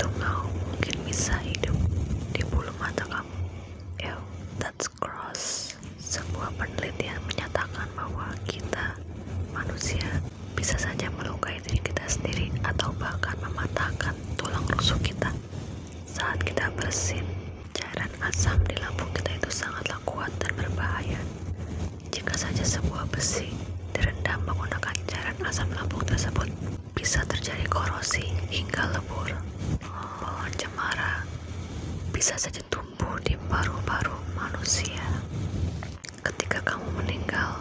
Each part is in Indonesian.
Tunggu, mungkin bisa hidup di bulu mata kamu. Ew, ya, that's gross. Sebuah penelitian menyatakan bahwa kita, manusia, bisa saja melukai diri kita sendiri atau bahkan mematahkan tulang rusuk kita. Saat kita bersin, cairan asam di lambung kita itu sangatlah kuat dan berbahaya. Jika saja sebuah besi direndam menggunakan cairan asam lambung tersebut, bisa terjadi korosi hingga lebur. Pohon cemara bisa saja tumbuh di paru-paru manusia. Ketika kamu meninggal,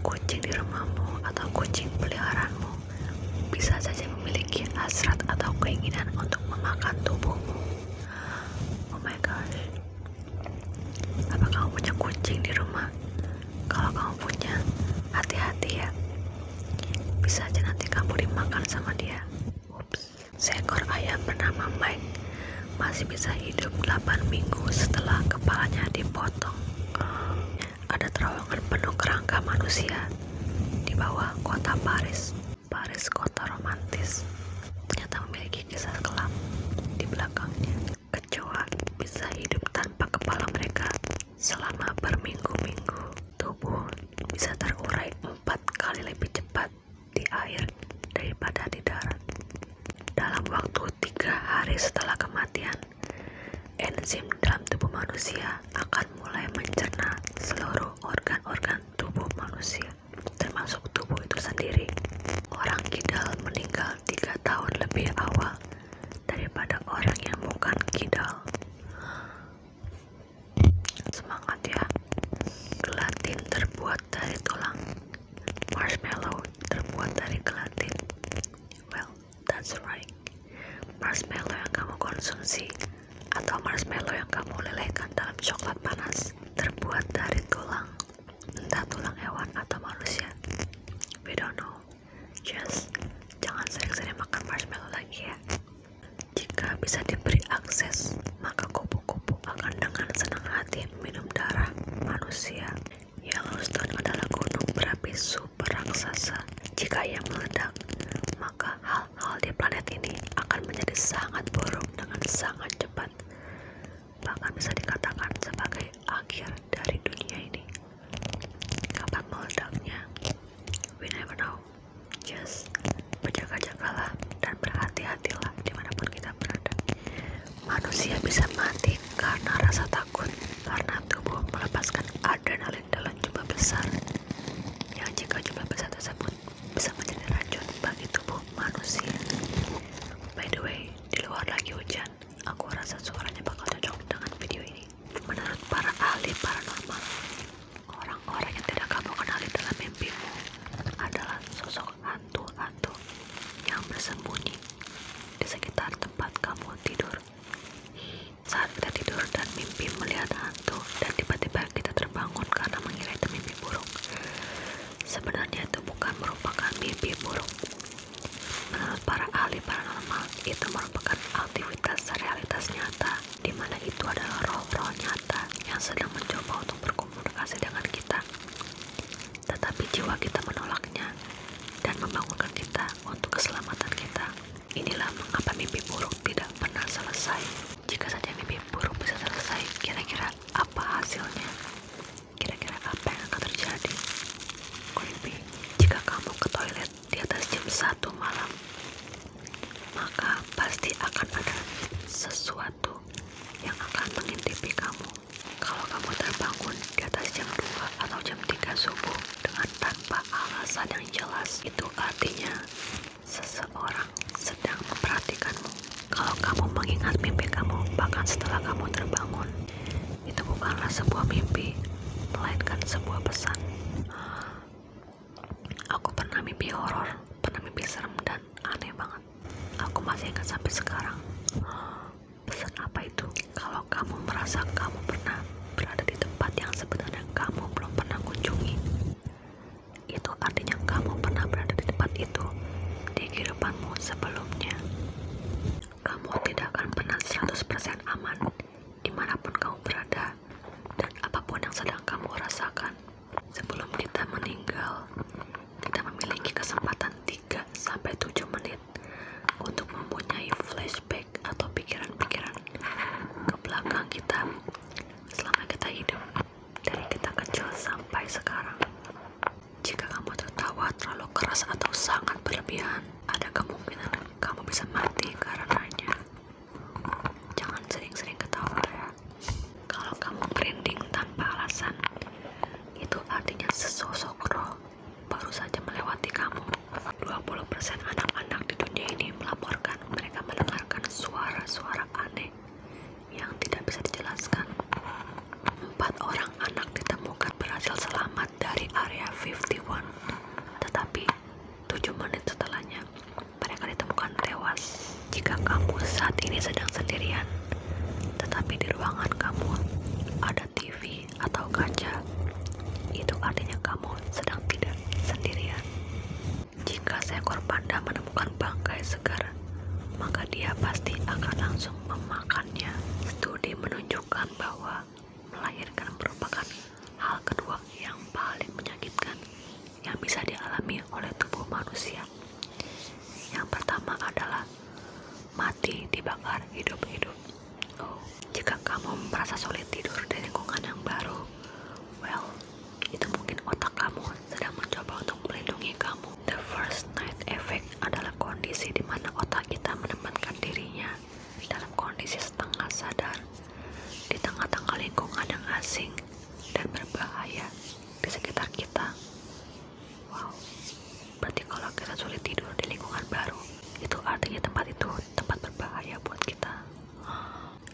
kucing di rumahmu atau kucing peliharaanmu bisa saja memiliki hasrat atau keinginan untuk memakan tubuhmu. Oh my gosh, apa kamu punya kucing di rumah kalau kamu punya hati-hati ya bisa aja nanti kamu dimakan sama dia Ups. seekor ayam bernama Mike masih bisa hidup 8 minggu setelah kepalanya dipotong ada terowongan penuh kerangka manusia di bawah kota Paris Paris kota romantis ternyata memiliki memiliki kelam di belakangnya. Kecoa bisa hidup tanpa kepala mereka selama berminggu-minggu. Tubuh bisa terurai empat kali lebih cepat di air daripada di darat. Dalam waktu tiga hari setelah kematian, enzim dalam tubuh manusia akan mulai mencerna seluruh organ-organ tubuh manusia termasuk tubuh itu sendiri. Orang kidal meninggal tiga tahun lebih awal daripada orang yang bukan kidal. Semangat ya. Gelatin terbuat dari tulang. Marshmallow terbuat dari gelatin. Well, that's right. Marshmallow yang kamu konsumsi atau marshmallow yang kamu lelehkan dalam coklat panas terbuat dari tulang, entah tulang hewan atau manusia. We no, know. Just jangan sering-sering makan marshmallow lagi ya. Jika bisa diberi akses, maka kupu-kupu akan dengan senang hati minum darah manusia. Yellowstone adalah gunung berapi super raksasa. Jika ia meledak, maka hal hal-hal di planet ini akan menjadi sangat buruk dengan sangat cepat bahkan bisa dikatakan sebagai akhir dari dunia ini kapan meledaknya we never know just berjaga-jagalah dan berhati-hatilah dimanapun kita berada manusia bisa mati karena rasa takut karena tubuh melepaskan adrenalin dalam jumlah besar yang jika jumlah besar tersebut bisa menjadi racun bagi tubuh manusia. By the way, di luar lagi hujan. Aku rasa suaranya bakal cocok dengan video ini. Menurut para ahli paranormal, orang-orang yang tidak kamu kenali dalam mimpimu adalah sosok hantu-hantu yang bersembunyi di sekitar tempat kamu tidur. Saat kita tidur dan mimpi melihat hantu, dan tiba-tiba kita terbangun karena mengira itu mimpi buruk. Sebenarnya itu bukan merupakan mimpi buruk. Menurut para ahli paranormal, itu merupakan aktivitas realitas nyata, di mana itu adalah roh-roh nyata yang sedang mencoba untuk berkomunikasi dengan kita. Tetapi jiwa kita menolaknya dan membangunkan kita untuk keselamatan kita. Inilah mengapa mimpi buruk tidak pernah selesai. Jika saja mimpi buruk bisa selesai, kira-kira apa hasilnya? Kira-kira apa yang akan terjadi? Mimpi, jika kamu ke toilet di atas jam satu malam, maka pasti akan ada sesuatu yang akan mengintipi kamu. Kalau kamu terbangun di atas jam 2 atau jam tiga subuh dengan tanpa alasan yang jelas, itu artinya Seseorang sedang memperhatikanmu. Kalau kamu mengingat mimpi kamu, bahkan setelah kamu terbangun, itu bukanlah sebuah mimpi, melainkan sebuah pesan. Aku pernah mimpi horor, pernah mimpi serem dan aneh banget. Aku masih ingat sampai sekarang. Pesan apa itu? Kalau kamu merasa kamu pernah berada di tempat yang sebenarnya kamu belum pernah kunjungi. Itu artinya kamu pernah berada di tempat itu di kehidupanmu sebelumnya. Kamu tidak akan pernah 100% aman dimanapun kamu berada dan apapun yang sedang kamu rasakan. Sebelum kita meninggal, kita memiliki kesempatan tiga sampai tujuh menit untuk mempunyai flashback atau pikiran-pikiran ke belakang kita selama kita hidup dari kita kecil sampai sekarang. Jika kamu tertawa terlalu keras atau sangat berlebihan, ada kemungkinan kamu bisa mati karena karenanya. Jangan sering-sering ketawa ya. Kalau kamu grinding tanpa alasan, itu artinya sesosok roh baru saja melewati kamu 20% anak-anak di dunia ini melaporkan mereka mendengarkan suara-suara aneh yang tidak bisa dijelaskan. Empat orang anak ditemukan berhasil selamat dari area 51, tetapi tujuh menit setelahnya mereka ditemukan tewas. Jika kamu saat ini sedang sendirian, tetapi di ruangan kamu ada TV atau kaca, itu artinya kamu sedang tidak sendirian. Jika seekor panda menemukan bangkai segar, maka dia pasti akan langsung memakannya. Studi menunjukkan bahwa melahirkan merupakan hal kedua yang paling menyakitkan yang bisa dialami oleh tubuh manusia. Yang pertama adalah mati dibakar hidup-hidup. Jika kamu merasa sulit tidur di lingkungan yang baru, well, itu mungkin otak kamu sedang mencoba untuk melindungi kamu. The first night effect adalah kondisi di mana otak kita menempatkan dirinya dalam kondisi setengah sadar di tengah-tengah lingkungan yang asing dan berbahaya di sekitar kita. Wow berarti kalau kita sulit tidur di lingkungan baru itu artinya tempat itu tempat berbahaya buat kita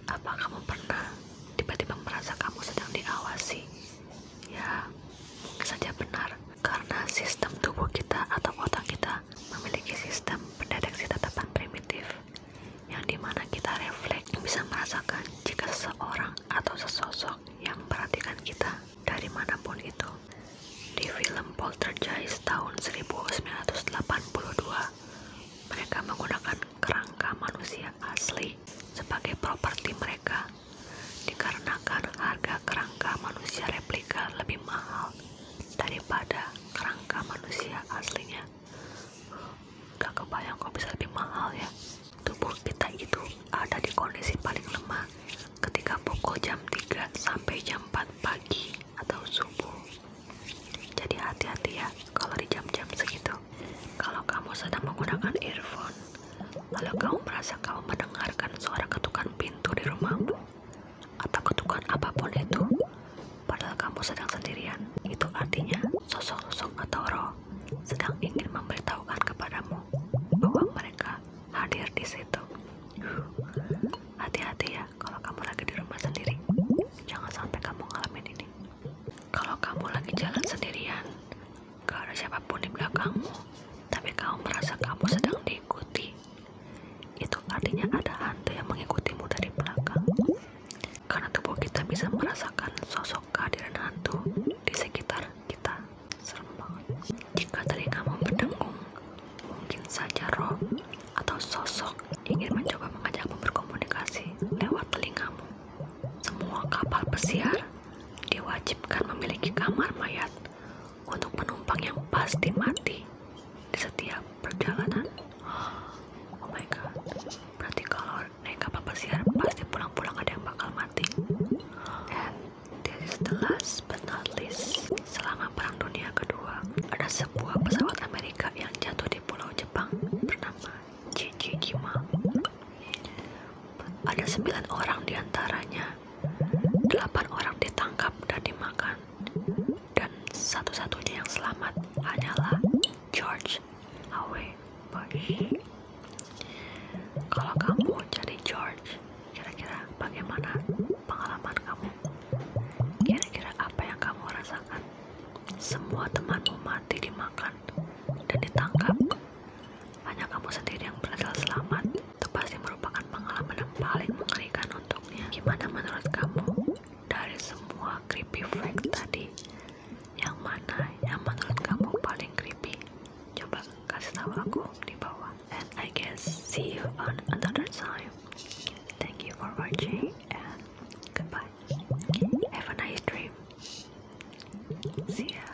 apa kamu pernah tiba-tiba merasa kamu sedang diawasi ya mungkin saja benar karena sistem tubuh kita atau otak kita memiliki sistem pendeteksi tatapan primitif yang dimana kita refleks bisa merasakan jika seseorang atau sesosok yang memperhatikan kita dari manapun itu. Di film Poltergeist tahun 1982, mereka menggunakan kerangka manusia asli sebagai properti mereka dikarenakan harga kerangka manusia replika lebih mahal daripada kerangka manusia aslinya. Gak kebayang kok bisa lebih mahal ya. Tubuh kita itu ada di kondisi paling lemah ketika pukul jam tiga sampai jam empat pagi atau subuh. Jadi hati-hati ya kalau di jam-jam segitu. Kalau kamu sedang menggunakan earphone, lalu kamu merasa kamu mendengarkan suara ketukan pintu di rumahmu atau ketukan apapun itu, padahal kamu sedang sendirian, itu artinya sosok-sosok atau roh sedang ingin memberitahukan kepadamu bahwa mereka hadir di situ. Hati-hati ya kalau kamu lagi di rumah sendiri. Jangan sampai kamu ngalamin ini. Kalau kamu lagi jalan sendirian, gak ada siapapun di belakangmu, tapi kamu merasa kamu sedang diikuti. Itu artinya ada hantu yang mengikutimu dari belakang. Karena tubuh kita bisa merasakan sosok kehadiran hantu di sekitar kita serem banget jika telinga kamu berdengung mungkin saja roh atau sosok ingin mencoba mengajakmu berkomunikasi lewat telingamu semua kapal pesiar diwajibkan memiliki kamar mayat untuk penumpang yang pasti mati di setiap perjalanan oh my god berarti kalau naik kapal pesiar pasti pulang-pulang ada yang bakal mati And This is the but not least. Selama Perang Dunia Kedua, ada sebuah pesawat Amerika yang jatuh di Pulau Jepang bernama Jijijima. Ada sembilan orang diantaranya, delapan orang ditangkap dan dimakan, dan satu-satunya yang selamat hanyalah George H. W. Bush. Kalau kamu jadi George, kira-kira bagaimana pengalaman kamu? Kira-kira apa yang kamu rasakan? Semua temanmu mati dimakan dan ditangkap. Hanya kamu sendiri yang berhasil selamat. Itu pasti merupakan pengalaman yang paling mengerikan untuknya. Gimana menurut kamu dari semua creepy fact tadi? yang mana yang menurut kamu paling creepy coba kasih tahu aku di bawah and I guess see you on another time thank you for watching and goodbye have a nice dream see ya